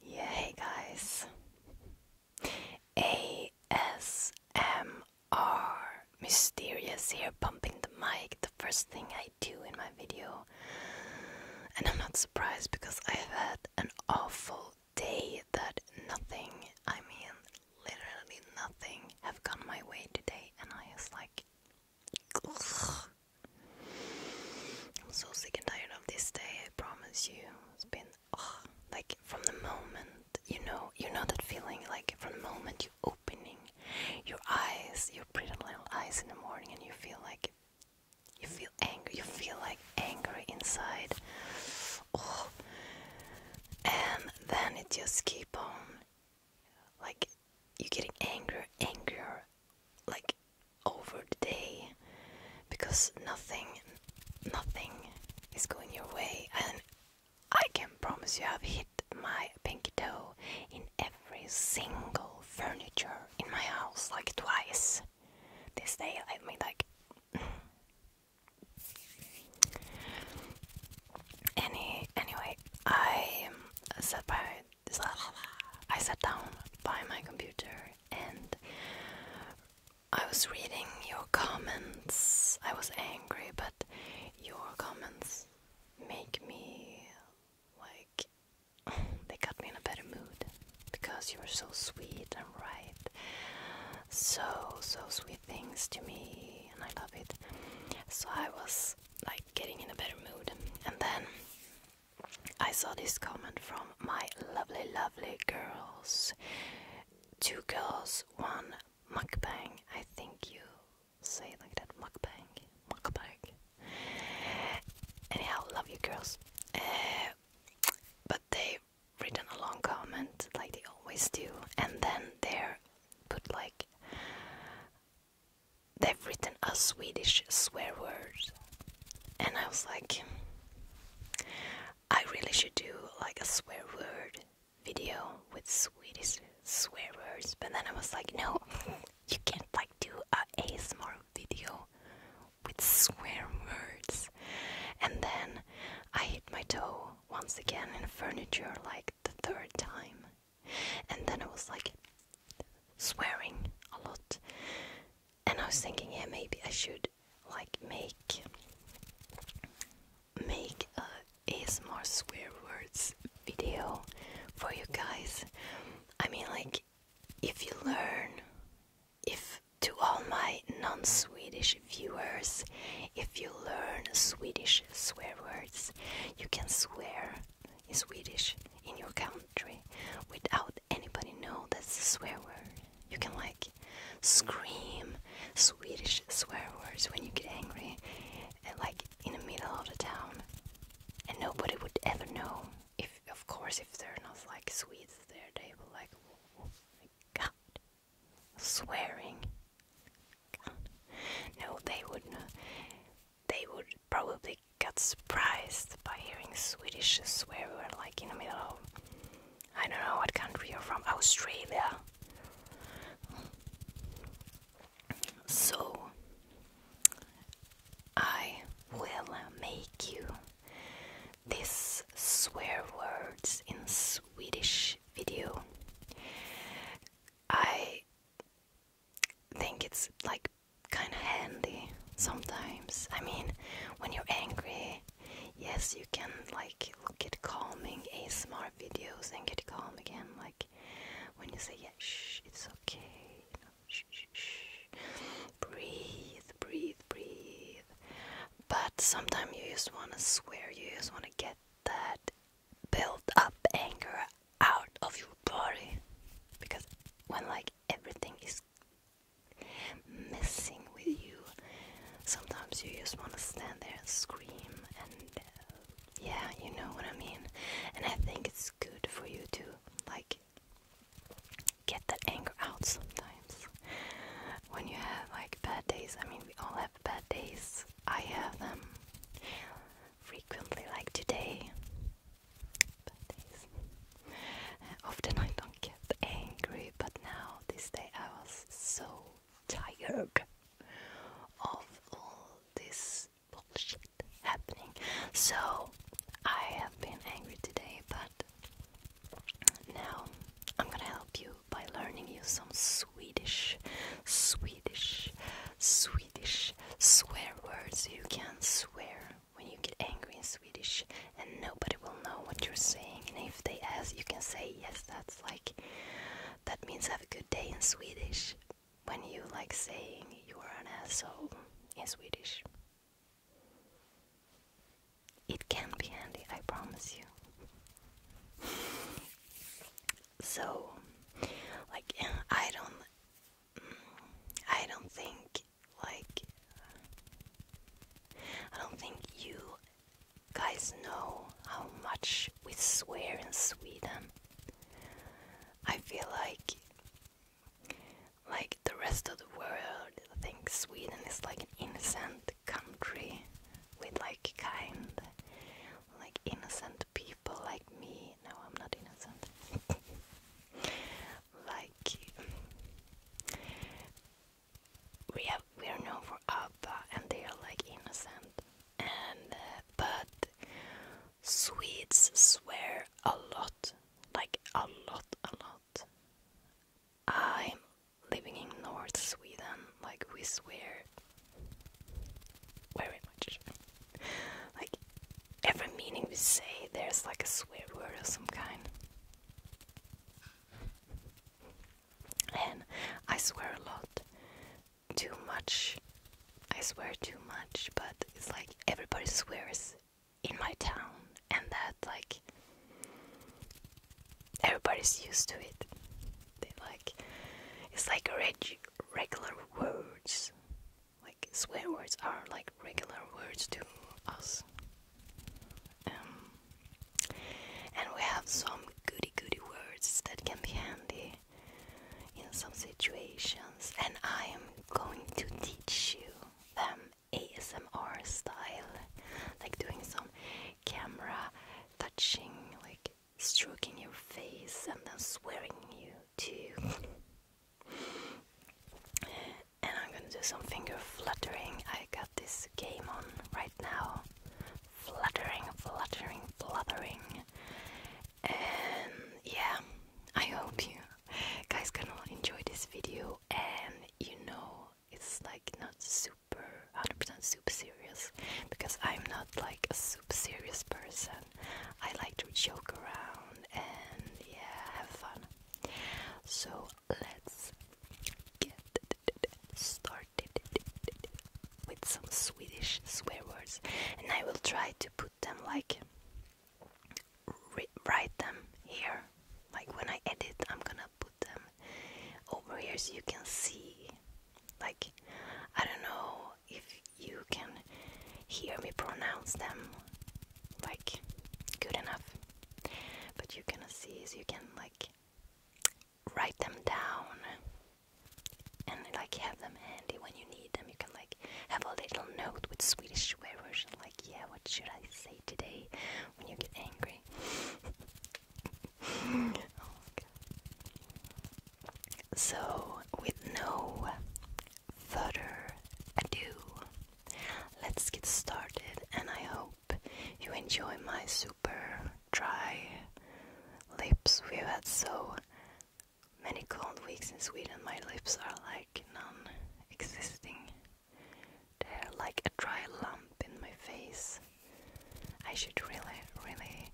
hey guys. ASMR. Mysterious here, bumping the mic, the first thing I do in my video. And I'm not surprised because I've had an awful day that nothing, I mean, literally nothing, have gone my way today, and I was like, I'm so sick and tired of this day, I promise you. It's been like from the moment you know you know that feeling like from the moment you opening your eyes, your pretty little eyes in the morning and you feel like you feel angry you feel like angry inside. and then it just keep on like you're getting angrier, angrier, like over the day, because nothing, nothing is going your way, and I can promise you, I've hit my pinky toe in every single furniture in my house like twice. This day, I mean, like. Any anyway, I sat by I sat down by my computer and I was reading your comments. I was angry, but your comments make me like they got me in a better mood because you were so sweet and right. So, so sweet things to me, and I love it. So, I was like getting in a better mood, and then I saw this comment from my lovely, lovely girls. Two girls, one mukbang. I think you say it like that mukbang. Mukbang. Anyhow, love you girls. Eh, but they've written a long comment like they always do, and then they're put like they've written a Swedish swear word, and I was like, I really should do like a swear word video with Swedish swear words, but then I was like, no, you can't like do a ASMR video with swear words. And then I hit my toe once again in furniture like the third time, and then I was like, swearing a lot. And I was thinking, yeah, maybe I should like make make a small swear words video for you guys. I mean, like, if you learn, if to all my non-Swedish viewers, if you learn Swedish swear words, you can swear in Swedish in your country without anybody know that's a swear word. You can like scream Swedish swear words when you get angry, and, eh, like in the middle of the town, and nobody would ever know. If of course, if they're not like Swedes there, they will like, oh, oh my god, swearing. God. No, they wouldn't they would probably get surprised by hearing Swedish swear words, like in the middle of I don't know what country you're from, Australia. So I will make you this swear words in Swedish video. I think it's like kind of handy sometimes. I mean, when you're angry, yes, you can like get calming ASMR videos and get calm again. Like when you say, yeah, shh, it's okay. You know, shh, shh, shh. Breathe, breathe, breathe. But sometimes you just want to swear, you just want to get that built up anger out of your body because when like everything is messing with you. Sometimes you just want to stand there and scream, and uh, yeah, you know what I mean. And I think it's good for you to like get that anger out sometimes when you have like bad days. I mean, we all have bad days. I have them frequently, like today. often I don't get angry, but now this day I was so tired of all this bullshit happening. So I have been angry today, but now I'm gonna help you by learning you some Swedish, Swedish, Swedish swear words you can swear when you get angry in Swedish and nobody will know what you're saying. And if they ask, you can say, Yes, that's like, that means have a good day in Swedish. When you like saying you are an asshole in Swedish, it can be handy, I promise you. so, like, I don't. Mm, I don't think like I don't think you guys know how much we swear in Sweden. I feel like like the rest of the world think Sweden is like an innocent country with like kind like innocent people like me. No, I'm not innocent. like we have we are known for Abba and they are like innocent and uh, but Swedes swear a lot like a lot a lot I'm living in North Sweden like we swear very much like every meaning we say, there's like a swear word of some kind. And I swear a lot. Too much. I swear too much, but it's like everybody swears in my town, and that, like, everybody's used to it. They like, it's like reg- regular words like swear words are like regular words to us. Um, and we have some goody goody words that can be handy in some situations, and I am going to teach you them ASMR style, like doing some camera touching, like stroking your face and then swearing you to and I'm gonna do some finger fluttering. I got this game on right now. Fluttering, fluttering, fluttering. And yeah, I hope you guys can all enjoy this video. And you know, it's like not super 100% super serious because I'm not like a super serious person. I like to joke around and yeah, have fun. So let's get started with some Swedish swear words, and I will try to put them like write them here. Like when I edit, I'm gonna put them over here so you can see. Like, I don't know if you can hear me pronounce them like good enough. But you can see is you can like write them down and like have them handy when you need them. You can like have a little note with Swedish swear words and like yeah, what should I say today when you get angry? Oh, so with no further ado let's get started, and I hope you enjoy my super dry lips. We've had so many cold weeks in Sweden, my lips are like non existing, they're like a dry lump in my face. I should really, really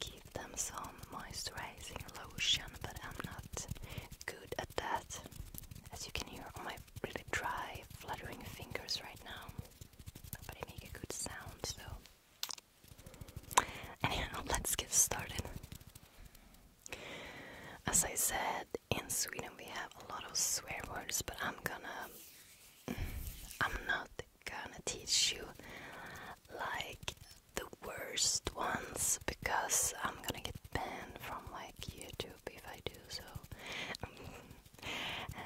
give them some moisturizing lotion, but I'm not good at that. As you can hear on my really dry, fluttering fingers right now, but they make a good sound, so. let's get started. As I said, in Sweden we have a lot of swear words, but I'm gonna. Mm, I'm not gonna teach you like the worst ones because I'm gonna get banned from like YouTube if I do so. Um, uh,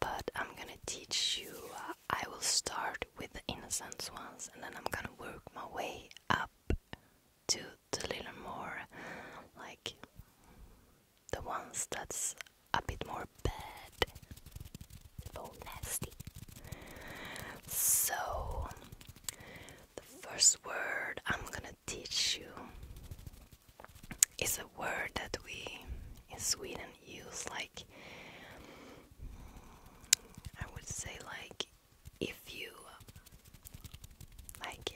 but I'm gonna teach you. Uh, I will start with the innocent ones and then I'm gonna work my way up to the little more like the ones that's a bit more bad, so nasty. So, the first word I'm gonna teach you is a word that we in Sweden use like I would say like if you like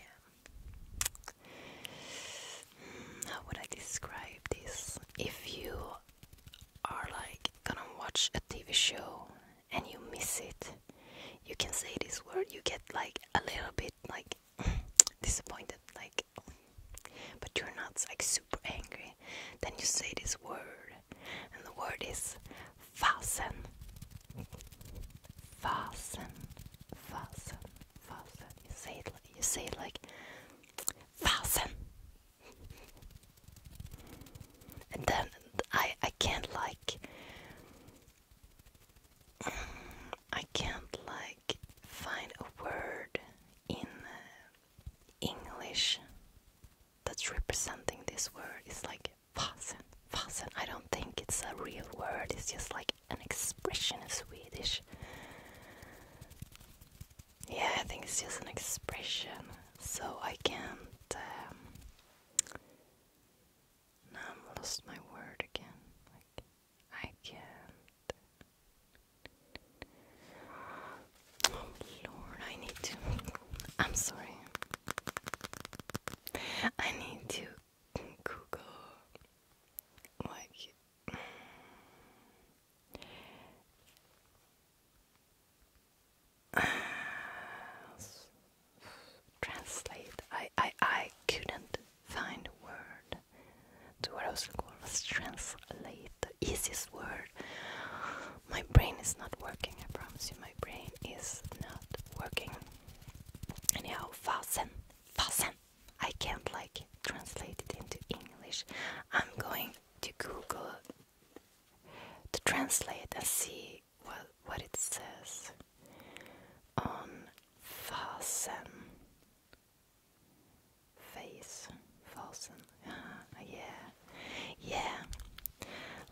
um, how would I describe this if you are like gonna watch a TV show and you miss it you can say this word you get like a little bit bit like disappointed, like, but you're not like super angry. Then you say this word, and the word is fasen. Fasen, fasen, fasen. You say it, you say it like fasen. And then I I can't like I can't like find a word in uh, English that's representing this word. It's like fasen, fasen. I don't think it's a real word. It's just like an expression in Swedish. Yeah, I think it's just an expression. So I can't um, i lost my word again. Like, I can oh, Lord, I need to. I'm sorry. I need to Google like translate. I, I, I couldn't find a word to what I was looking for was translate. The easiest word. My brain is not working, I promise you. My brain is not working. Anyhow, fasen, fasen. I can't like translate it into English. I'm going to Google to translate and see what what it says on fasen. Face. Fasen. Uh-huh. yeah. Yeah.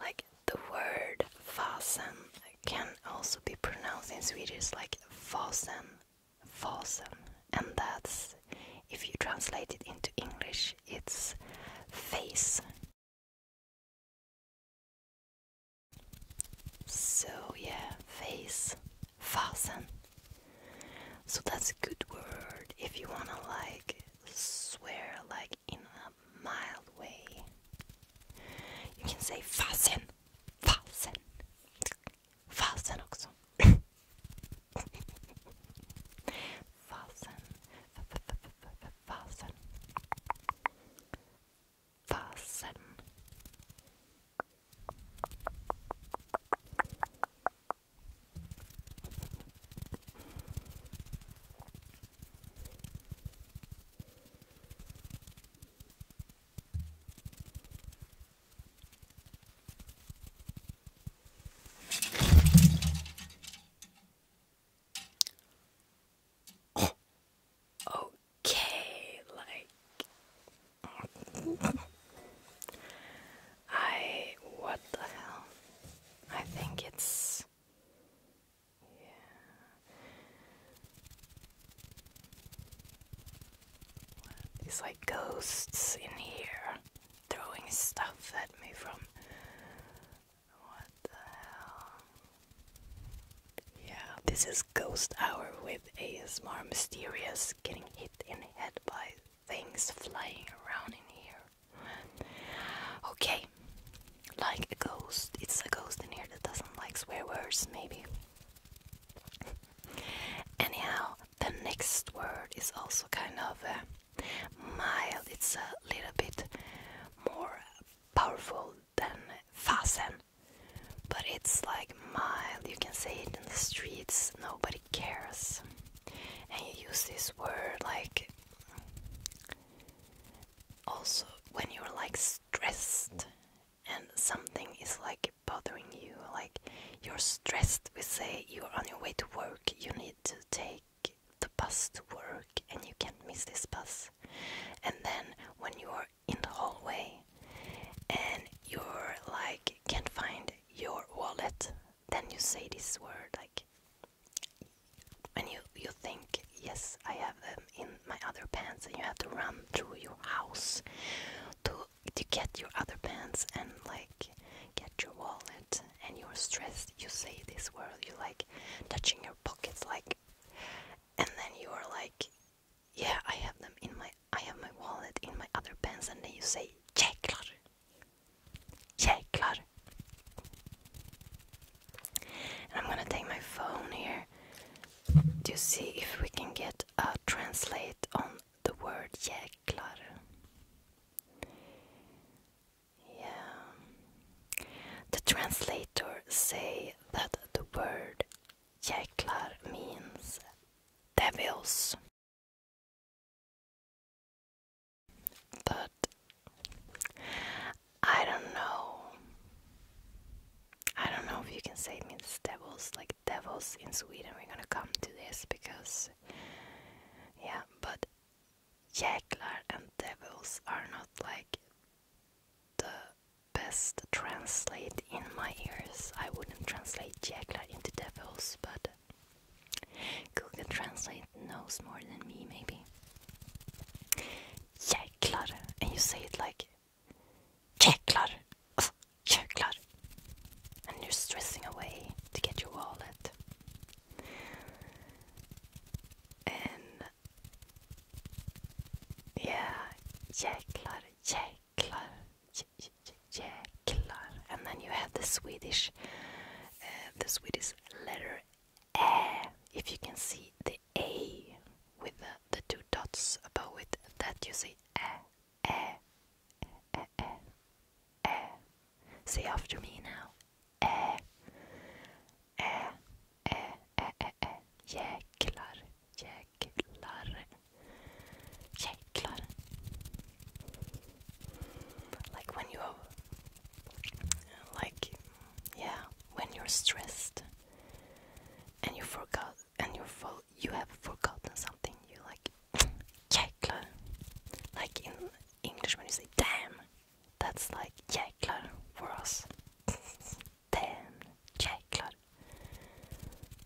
Like the word fasen can also be pronounced in Swedish like "falsen, falsen," And that's, if you translate it into English, it's face. So yeah, face fasten. So that's a good word if you wanna like swear like in a mild way. You can say fasten, fasten, fasten också. fasten, fasten, fasten fasten. Oh, okay, like I what the hell? I think it's yeah. It's like ghosts in here throwing stuff at me from what the hell? Yeah, this is Ghost Hour with a ASMR Mysterious getting hit in the head by things flying around in here. Okay, like a ghost. It's a ghost in here that doesn't like swear words, maybe. Anyhow, the next word is also kind of uh, mild. It's a little bit more powerful than fasen. But it's like mild, you can say it in the streets, nobody cares. And you use this word like also when you're like stressed and something is like bothering you, like you're stressed, we say you're on your way to work, you need to take the bus to work and you can't miss this bus. And then when you are in the hallway and you're like can't find your wallet, then you say this word like and you you think yes I have them in my other pants and you have to run through your house to to get your other pants and like get your wallet and you're stressed you say this word you like touching your pockets like and then you are like yeah, I have them in my I have my wallet in my other pants and then you say jäklar. Jäklar. And I'm gonna take my phone here to see if we can get a translate on the word jäklar. Yeah. The translator say that the word Jäklar means devils. But I don't know. I don't know if you can say it means devils, like devils in Sweden. We're gonna come to this because, yeah, but jäklar and devils are not like the best translate in my ears. I wouldn't translate jäklar into devils, but Google Translate knows more than me, maybe. Jäklar, and you say it like jäklar, jäklar, and you're stressing away to get your wallet. And yeah, jäklar, jäklar jäklar, jäklar. And then you have the Swedish, uh, the Swedish letter Ä. If you can see the A with the, the two dots above it, that you say Ä, Ä, Ä, Ä, Ä. Say after me now. Ä, Ä, Ä, Ä, Ä, det är jäklar, jäklar, jäklar. Like when you like, yeah, when you're stressed and you forgot, and you fo you have forgotten something, you like, jäklar. Like in English when you say damn, that's like jäklar for us. ten. Jäklar.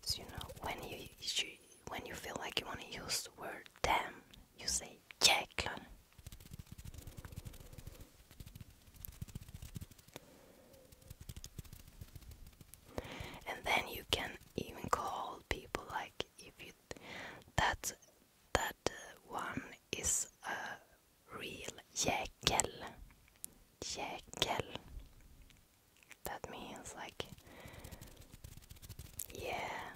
So you know when you, when you feel like you want to use the word damn, you say jäklar. And then you can even call people like if you that that uh, one is a real jäkel. Jäkel. That means, like, yeah,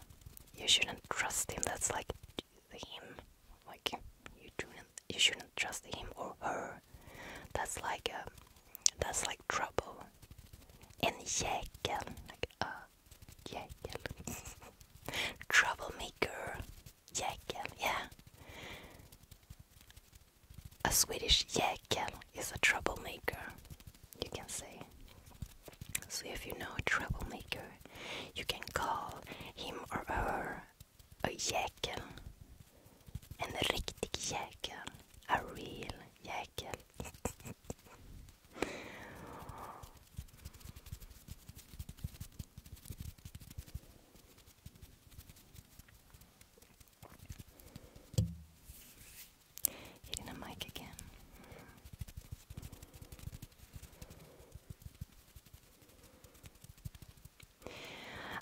you shouldn't trust him. That's like him. Like, you shouldn't, you shouldn't trust him or her. That's like, um, that's like trouble. And jäkel. Like, uh, jäkel. Troublemaker. Jäkel, yeah a Swedish jäkel is a troublemaker, you can say. So if you know a troublemaker, you can call him or her a jäkel. En riktig jäkel. A real jäkel. Hitting a mic again.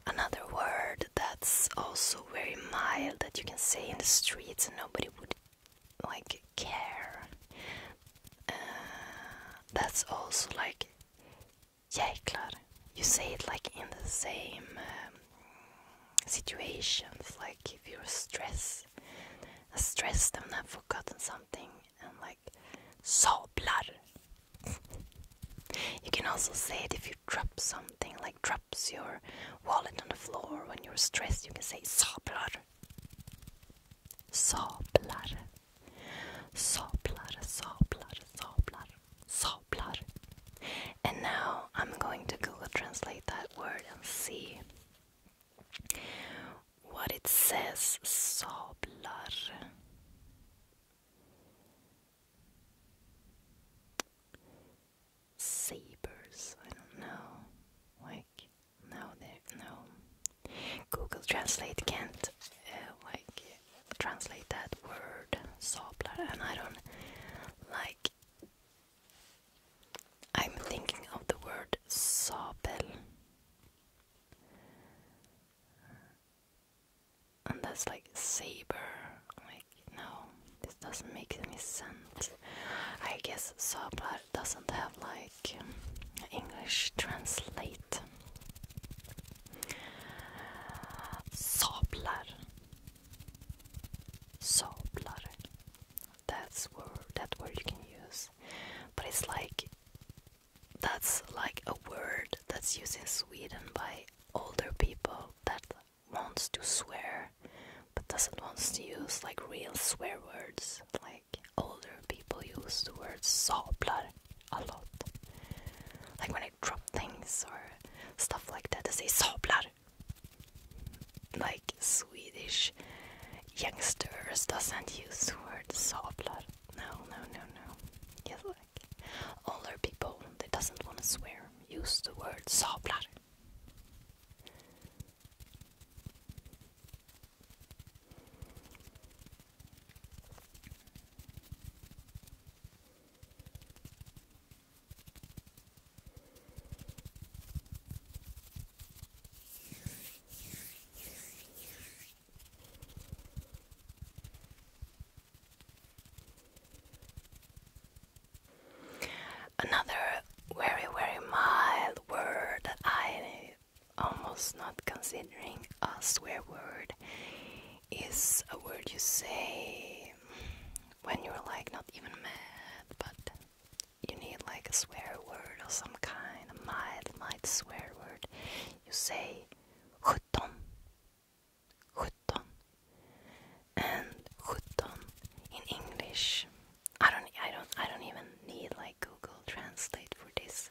Another word that's also very mild that you can say in the streets and nobody would like care. Uh, that's also like Jäklar. You say it like in the same um, situations, like if you're stressed, stressed and have forgotten something, and like sablar. you can also say it if you drop something, like drops your wallet on the floor when you're stressed. You can say sablar. Sablar. Sablar, sablar, sablar. Sablar. And now I'm going to Google translate that word and see what it says. Sablar. Sabers. I don't know. Like, no, there, no. Google Translate can't, uh, like, translate that word sablar and I don't like I'm thinking of the word sabel and that's like saber like no this doesn't make any sense I guess sablar doesn't have like English translate sablar Sablar. That's word that word you can use. But it's like that's like a word that's used in Sweden by older people that wants to swear but doesn't want to use like real swear words. Like older people use the word sablar a lot. Like when I like drop things or stuff like that. They say sablar. Like Swedish youngsters doesn't use the word sablar. No, no, no, no. Yes, like older people that doesn't want to swear use the word sablar. Another very, very mild word that I almost not considering a swear word is a word you say when you're like not even mad, but you need like a swear word or some kind, a mild, mild swear word. You say sjutton, sjutton, and sjutton in English. I don't, I don't, I don't even need like Google Translate for this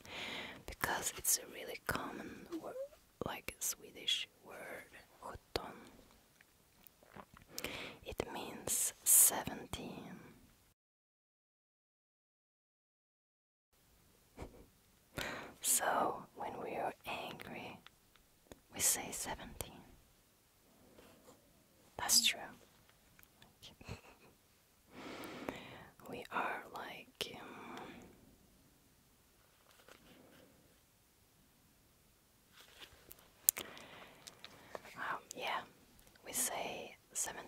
because it's a really common word, like Swedish word, sjutton. It means seventeen. so, when we are angry, we say seventeen. That's true. we are like um, um, yeah, we say 17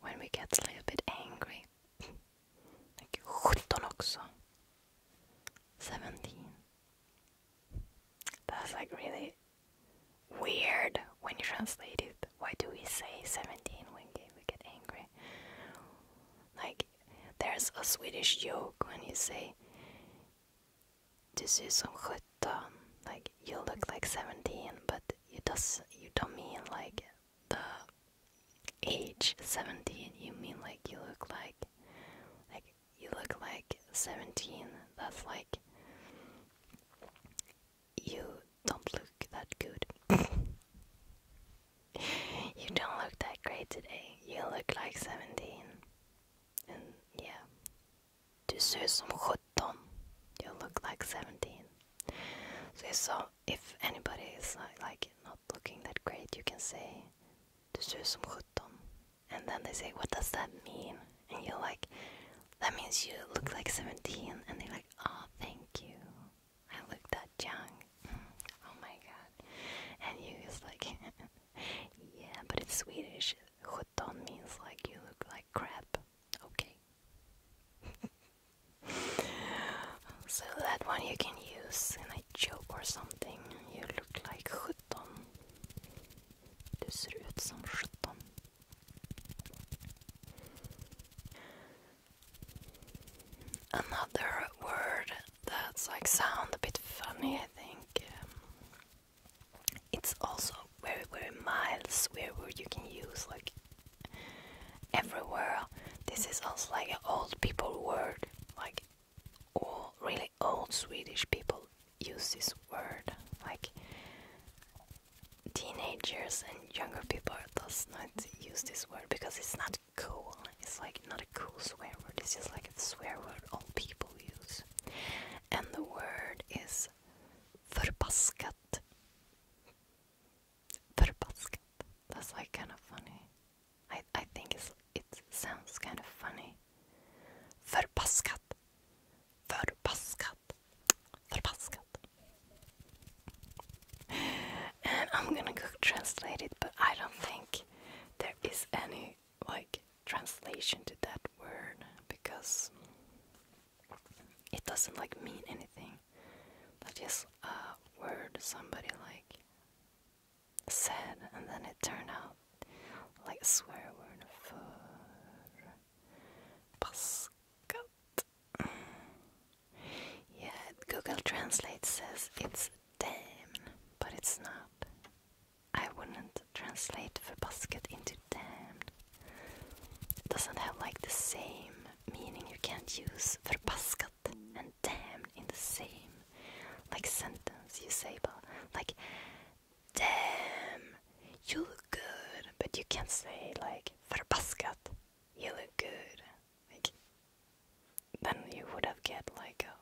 when we get a little bit angry. like 17 också. 17. That's like really weird when you translate it. Why do we say 17 when we get angry? Like there's a Swedish joke when you say "this is good sjutton," like you look like seventeen, but you does you don't mean like the age seventeen. You mean like you look like like you look like seventeen. That's like you don't look that good. you don't look that great today. You look like 17. And yeah. Du ser ut som 17. You look like 17. So, if anybody is not, like not looking that great, you can say Du ser ut som 17. And then they say, what does that mean? And you're like, that means you look like 17. And they're like, oh, thank you. I look that young. Oh my god. And you is like, yeah, but it's Swedish. Sjutton means like you look like crap. Okay. so that one you can use in a joke or something. You look like sjutton. Du ser ut Another word that's like sound a bit funny, I think. it's also very, very mild swear word you can use like everywhere. This is also like an old people word, like all really old Swedish people use this word, like teenagers and younger people does not use this word because it's not cool. It's like not a cool swear word. It's just like a swear word all people use. And the word is förbaskat. Förbaskat. That's like kind of funny. I I think it's it sounds kind of funny. Förbaskat. Förbaskat. Förbaskat. And I'm gonna go translate it, but I don't think there is any like translation to that word because it doesn't like mean anything. That's a word somebody like said, and then it turned out like a swear word for Pascat. Yeah, Google Translate says it's damn, but it's not. I wouldn't translate verbasket into damned. It doesn't have like the same meaning. You can't use verbaskat and damned in the same like sentence. You say, but like, damn, you look good, but you can't say like verbaskat, you look good. Like, then you would have get like a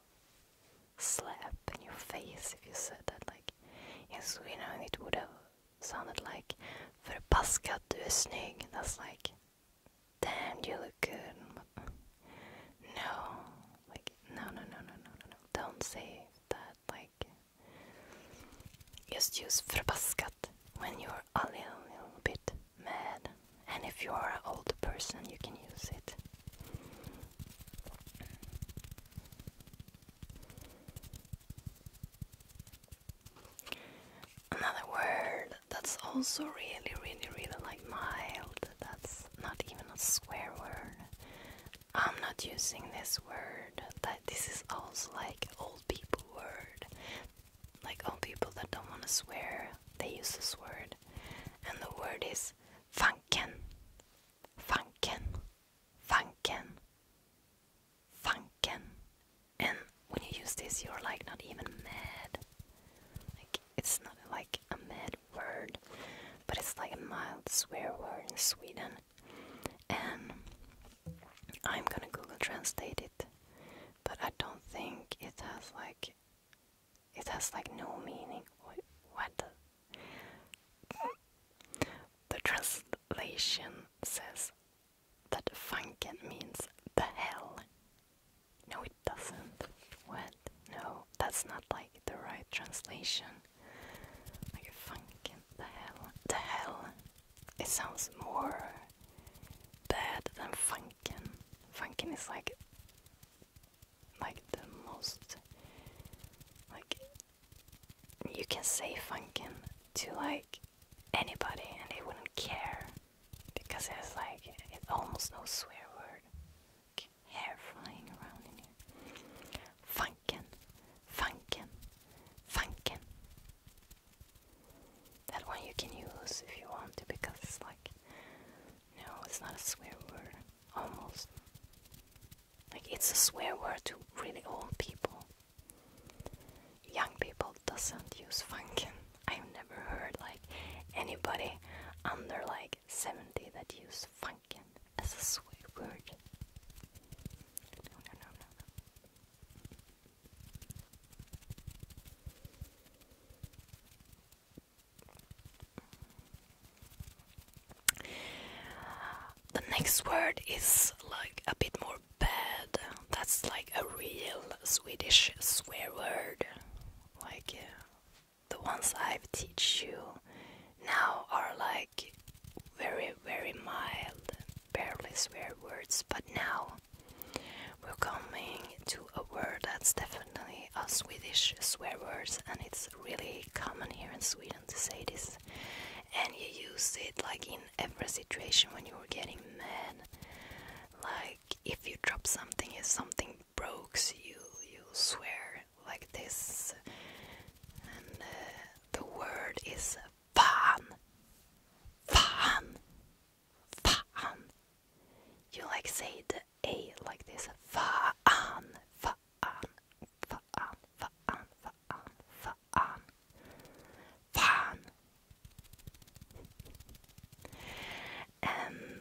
slap in your face if you said that. Like yes, you know it would have sounded like "förbaskat du är snygg." That's like, damn, you look good. No, like no, no, no, no, no, no, no. Don't say that. Like, just use "förbaskat" when you're a little, bit mad, and if you're an old person, you can use it. Another word that's also really, really, really like mild, that's not even a swear word. I'm not using this word, that this is also like old people word. Like old people that don't want to swear, they use this word. And the word is Funken, funken, funken, Fanken. And when you use this, you're like not even mad. Like it's not like a mad word, but it's like a mild swear word in Sweden. And I'm gonna Google translate it, but I don't think it has like it has like no meaning. What? The translation says that funken means the hell. No, it doesn't. What? No, that's not like the right translation. Like funken, the hell. The hell. It sounds more bad than funken. Funken is like like the most like you can say funkin to like anybody and they wouldn't care because it's like it's almost no swear word hair flying around in here funkin funkin funkin that one you can use if you want to because it's like no it's not a swear word almost. Like it's a swear word to really old people. Young people doesn't use funkin. I've never heard like anybody under like 70 that use funkin as a swear word. The next word is like a bit more bad. That's like a real Swedish swear word. Like uh, the ones I've teach you now are like very very mild, barely swear words. But now we're coming to a word that's definitely a Swedish swear words and it's really common here in Sweden to say this. And you use it like in every situation when you're getting mad. Like if you drop something, if something breaks, you you swear like this. And uh, the word is fan. Fan. Fan. You like say the a like this. Fan. Fan fahren, fahren, fahren, fahren, fahren. And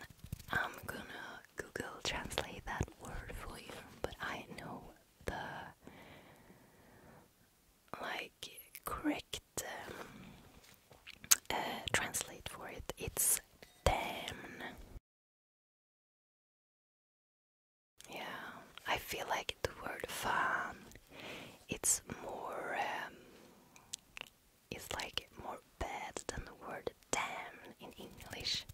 I'm gonna Google translate that word for you, but I know the like correct translate for it. It's damn. Yeah, I feel like the word "fun" it's more um, it's like more bad than the word damn in English.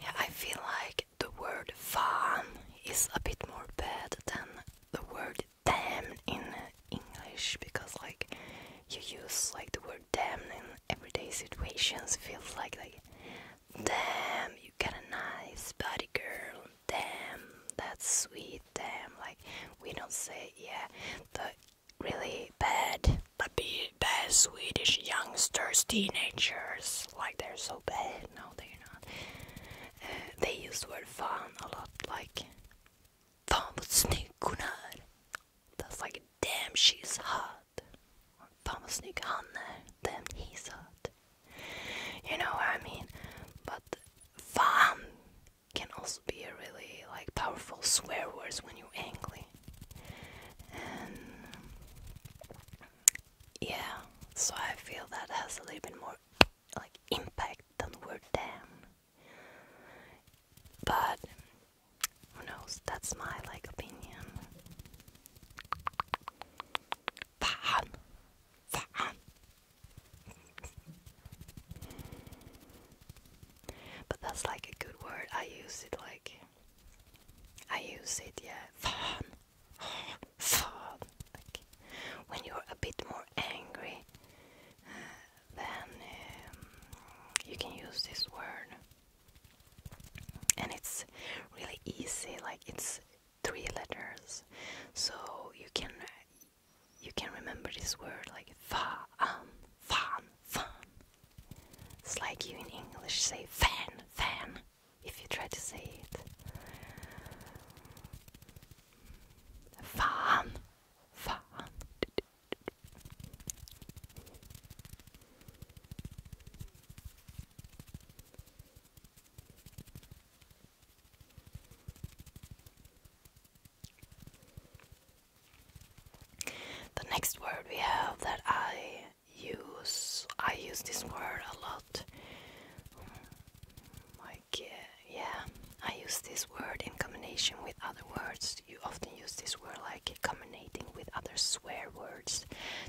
Yeah, I feel like the word "fun" is a bit more bad than the word damn in English because like you use like the word damn in everyday situations feels like like damn you got a nice body girl damn that's sweet damn like we don't say yeah the really bad but be bad Swedish youngsters teenagers like they're so bad no they're not uh, they use the word fun a lot like Vamos snickornar. That's like, damn, she's hot. Or Vamos snickornar. Damn, he's hot. You know what I mean? But vam can also be a really like powerful swear words when you're angry. And yeah, so I feel that has a little bit more like impact than the word damn. But who knows? That's my like opinion. Fan, fan. but that's like a good word. I use it like I use it, yeah. Fan, fan. Like when you're a bit more angry. Uh, then um, you can use this word and it's really easy like it's three letters so you can you can remember this word like fan um, fan fan it's like you in english say fan fan if you try to say it fan fan the next word we have that I use, I use this word a lot. I oh guess yeah, I use this word in combination with other words. You often use this word like combining with other swear words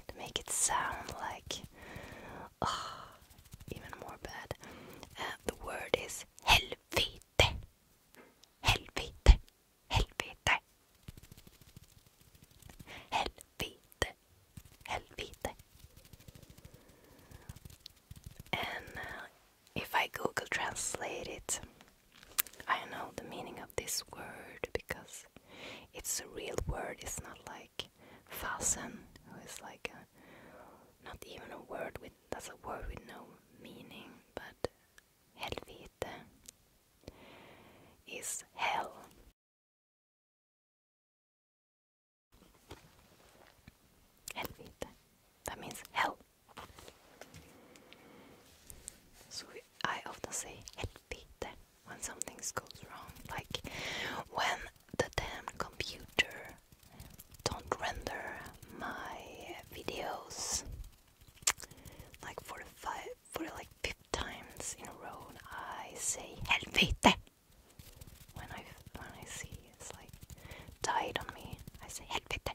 to make it sound like even more bad. Uh, the word is helvete. Helvete. Helvete. Helvete. Helvete. And uh, if I Google translate it, I know the meaning of this word because it's a real word. It's not like fasten, who is like not even a word with that's a word with no meaning, but helvete is hell. Helvete. That means hell. So I often say "help me" when something goes wrong, like when the damn computer don't render my videos like for like fifth times in a row. I say helvete when I when I see it's like died on me. I say helvete.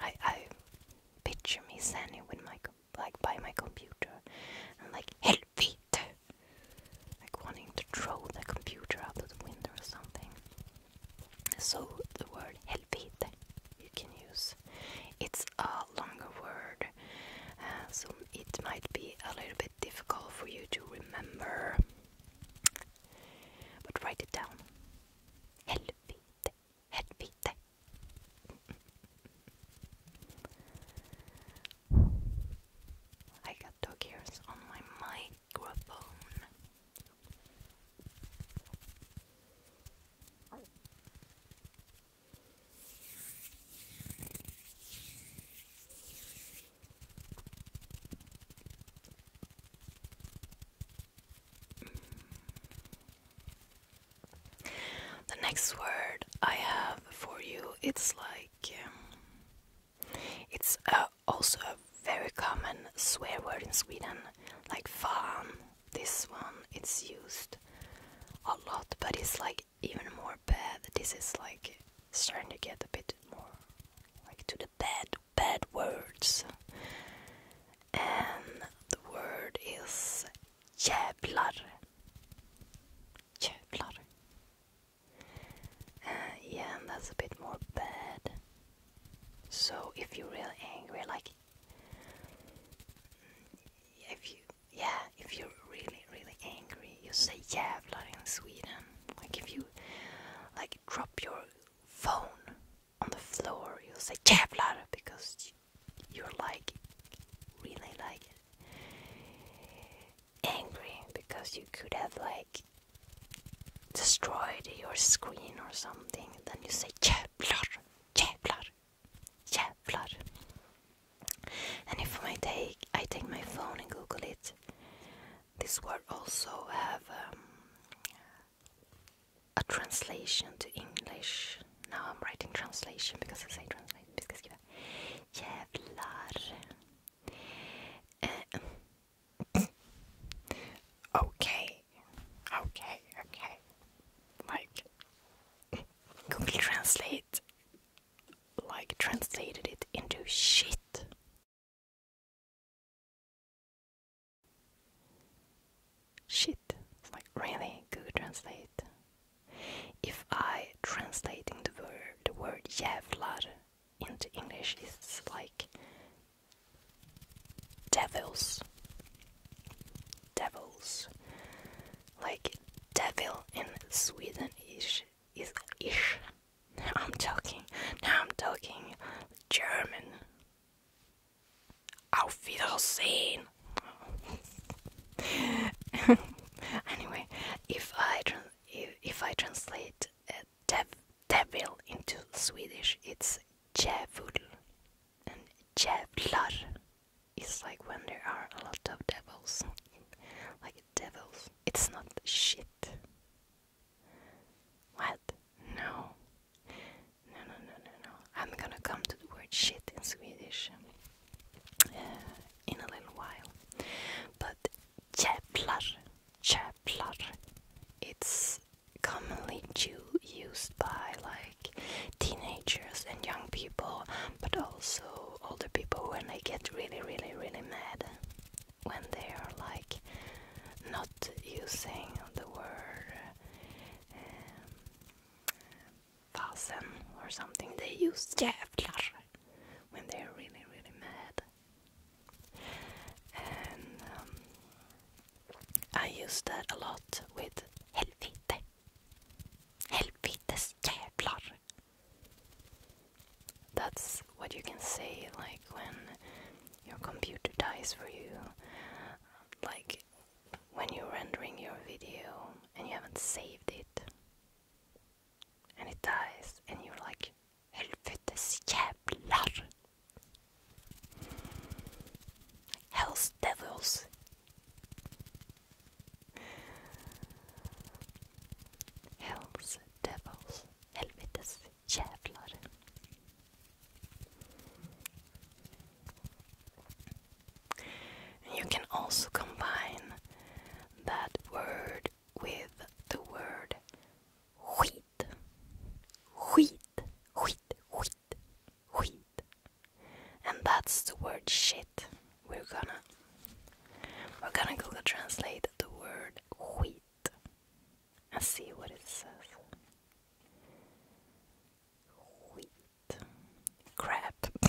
I I picture me standing with my like by my computer and like Helvete like wanting to throw the computer out of the window or something. So the word Helvete you can use. It's a longer word, uh, so it might be a little bit difficult for you to remember. But write it down. Hello. helvete. I got dog ears on my microphone. The next word I have for you it's like um, it's uh, also a very common swear word in Sweden like "farm." this one it's used a lot but it's like even more bad this is like starting to get a bit more like to the bad bad words. And the word is jävlar. Jävlar. Uh, yeah, and that's a bit more bad. So if you're really angry, like if you yeah, if you're really really angry, you say jävlar in Sweden. Like if you like drop your phone on the floor, you'll say Kevlar because you're like really like angry because you could have like destroyed your screen or something. Then you say Kevlar, Kevlar, Kevlar. And if I take I take my phone and Google it, this word also have um, a translation to English. Now I'm writing translation because I say translate. Vi ska skriva jävlar. Uh, um, okay, okay, okay. Like Google Translate, like translated it into shit. Shit, it's like really good translate. If I translating the word the word jävlar into English is like devils devils like devil in Sweden ish is ish now I'm talking now I'm talking German Auf Wiedersehen! anyway, if I if, I translate uh, devil into Swedish, it's djävul, and djävlar is like when there are a lot of devils, like devils. It's not shit. What? No. No, no, no, no, I'm gonna come to the word shit in Swedish uh, in a little while. But jävlar, jävlar. It's commonly used by like teenagers and young people, but also older people when they get really, really, really mad when they are like not using the word Eh, fasen or something. They use jävlar when they're really, really mad. And um, I use that a lot with helvete. Helvetes jävlar. That's what you can say like when your computer dies for you like when you're rendering your video and you haven't saved it and it dies and you're like Helvetes jävlar Hell's devils Hell's devils Helvetes you can also combine that word with the word skit. Skit, skit, skit, skit. And that's the word shit. We're gonna we're gonna Google translate the word skit I see what it says. Wheat. Crap.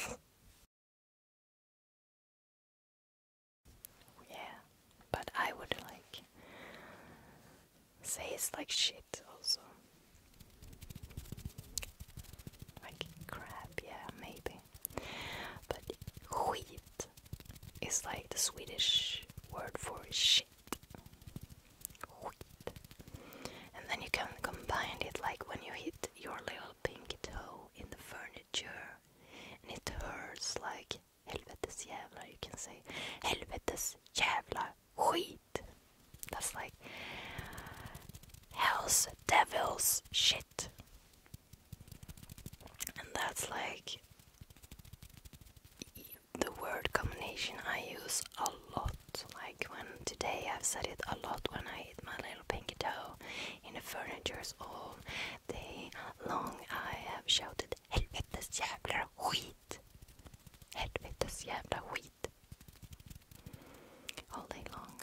yeah, but I would like say it's like shit also. Like crap, yeah, maybe. But wheat is like the Swedish word for shit. And then you can combine it like when you hit your little pinky toe in the furniture and it hurts like helvetes jävlar you can say helvetes jävla skit. That's like hell's devil's shit. And that's like the word combination I use a lot. Like when today I've said it a lot when I hit my little pinky toe in the furniture's all day long. I have shouted helvetes jävla skit. Helvetes jävla skit. All day long.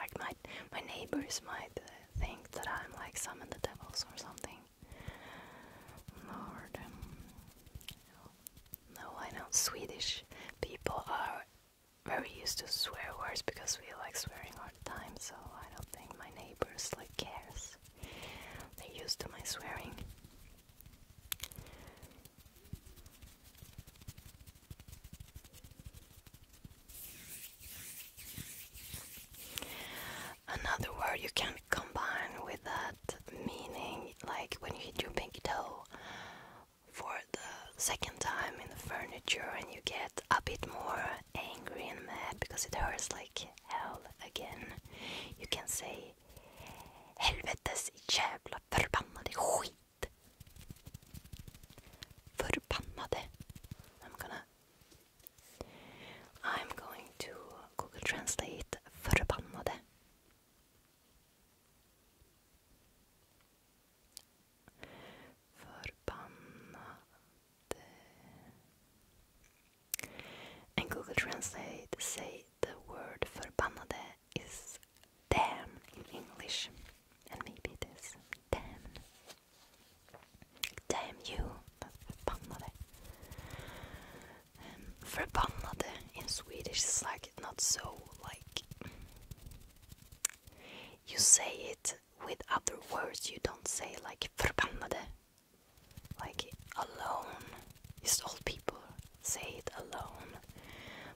Like my my neighbors might uh, think that I'm like summon the devils or something. Lord. No, I know Swedish people are very used to swear words because we like swearing all the time, so I don't think my neighbors like cares. They're used to my swearing another word you can combine with that meaning, like when you hit your pinky toe for the second time in the furniture and you get a bit more angry and mad because it hurts like hell again. You can say Helvetes jävla förbannade skit. Förbannade. I'm gonna I'm going to Google Translate förbannade. Förbannade. And Google Translate say the word förbannade is damn in English. And maybe it is damn. Damn you förbannade. Um, in Swedish is like not so like you say it with other words. You don't say like förbannade. Like alone, just old people say it alone,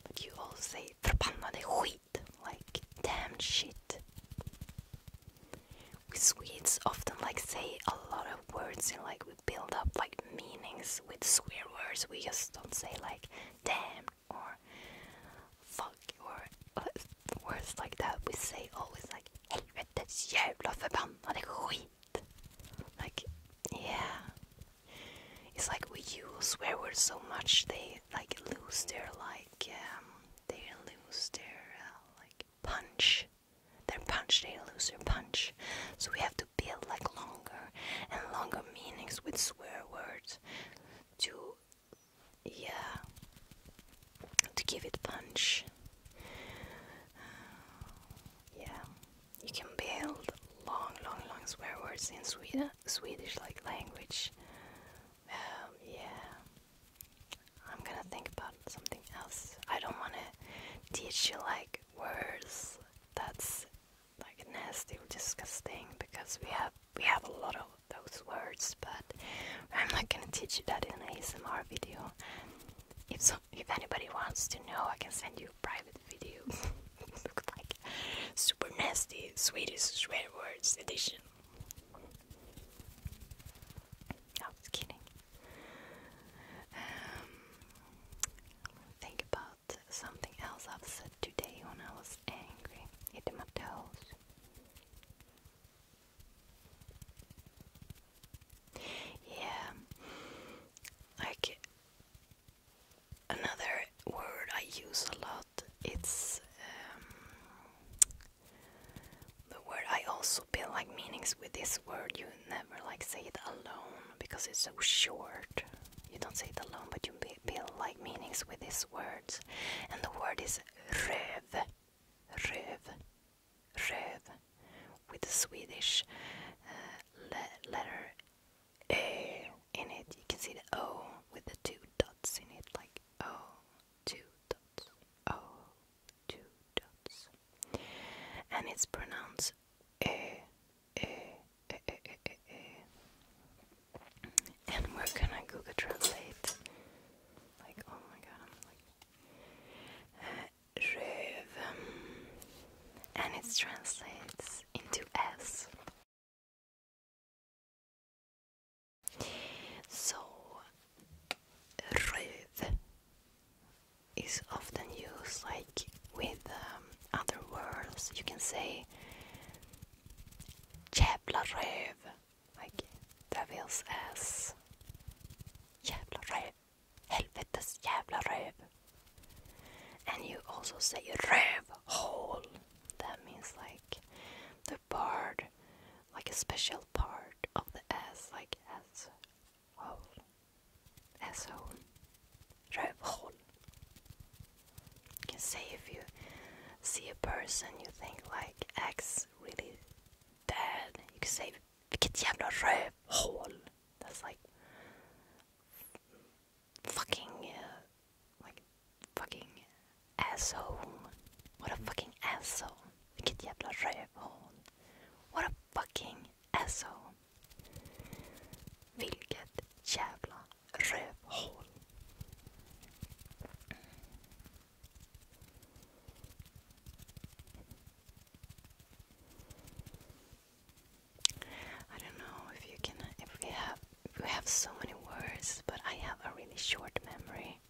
but you all say förbannade skit, like damn shit. We Swedes often like say a lot of words and like we build up like meanings with swear words. We just don't say like damn or fuck or uh, words like that. We say always like helvetes love a skit. Like yeah. It's like we use swear words so much they like lose their like um, they lose their uh, like punch. They're punch, they lose their punch. So we have to build like longer and longer meanings with swear words to yeah to give it punch. Uh, yeah. You can build long long long swear words in Swedish, Swedish like language. Um, yeah. I'm gonna think about something else. I don't wanna teach you like words that's like nasty or disgusting because we have we have a lot of those words but I'm not gonna teach you that in an ASMR video. If if anybody wants to know I can send you a private video. like super nasty Swedish swear words edition. I was kidding. Um, think about something else I've said today when I was angry. Hitting my Yeah, like another word I use a lot. It's um, the word I also build like meanings with this word. You never like say it alone because it's so short. You don't say it alone, but you build like meanings with these words. And the word is röv, röv, röv, with the Swedish uh, letter "ä" in it. You can see the O with the two dots in it, like O, two dots, O, two dots. And it's pronounced eh, eh, eh, eh, eh, eh. And we're gonna Google Translate. Like, oh my god, I'm like. Röv. Uh, um, and it translates into S. So, röv is often used like with um, other words. You can say jävla röv, like devil's ass. Jävla röv. Helvetes jävla röv. And you also say rövhål. That means like the part, like a special part of the ass, like ass av asshole. Rövhål. You can say if you see a person you think like X really dead. You can say vilket jävla rövhål. That's like fucking uh, like fucking asshole. What a fucking asshole. Vilket jävla rövhål. What a fucking asshole. Vilket jävla rövhål. I don't know if you can if we have we have so many words, but I have a really short memory.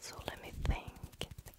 So let me think.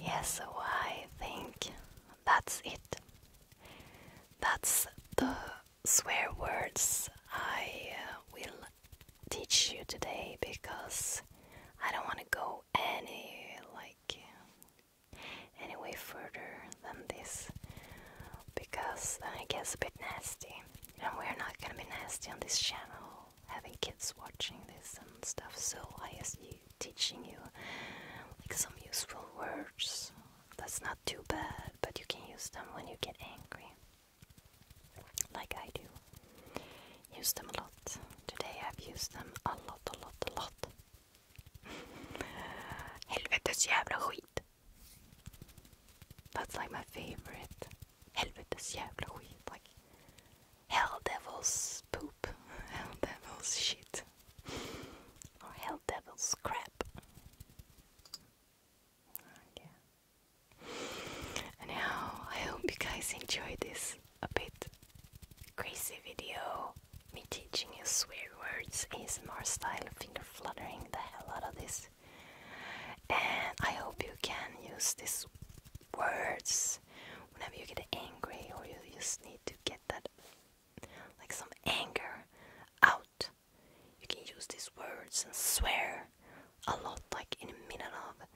Yes, so I think that's it. That's the swear words I uh, will teach you today because I don't want to go any like uh, any further than this because it gets a bit nasty. And we're not gonna be nasty on this channel, having kids watching this and stuff, so I just you teaching you like some useful words. That's not too bad, but you can use them when you get angry. Like I do. Use them a lot. Today I've used them a lot, a lot, a lot. Helvetes jävla skit. That's like my favorite. Hell Helvetes jävla skit. Like hell devil's poop. Hell devil's shit. or hell devil's crap. Anyhow, I hope you guys enjoyed this a bit crazy video. Me teaching you swear words, ASMR style, finger fluttering the hell out of this. And I hope you can use these words whenever you get angry or you just need to get that like some anger out. You can use these words and swear a lot, like in a minute of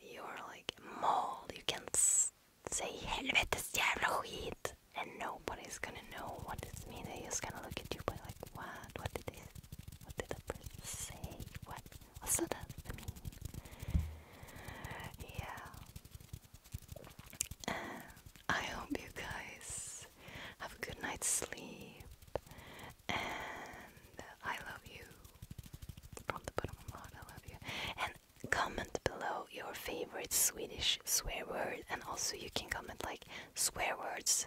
you're like mauled. You can say helvetes jävla skit and nobody's gonna know what it's means. They're just gonna look at you by like what? What did it? What did the person say? What? What's that mean? Yeah. And uh, I hope you guys have a good night's sleep. And I love you from the bottom of my heart. I love you. And comment below your favorite Swedish swear word, and also you can comment like swear words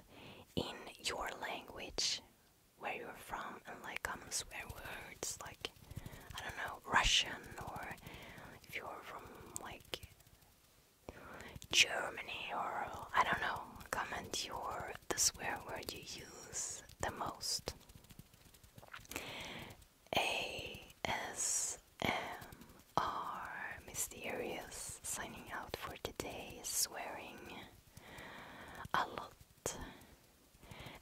in your language where you're from and like common um, swear words like I don't know Russian or if you're from like Germany or I don't know comment your the swear word you use the most A S M R mysterious signing out for today, swearing a lot.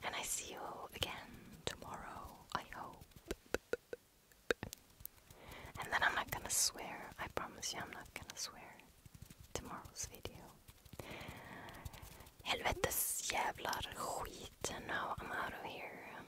And I see you again tomorrow, I hope. And then I'm not gonna swear, I promise you, I'm not gonna swear. Tomorrow's video. Helvetes jävlar skit. Now I'm out of here.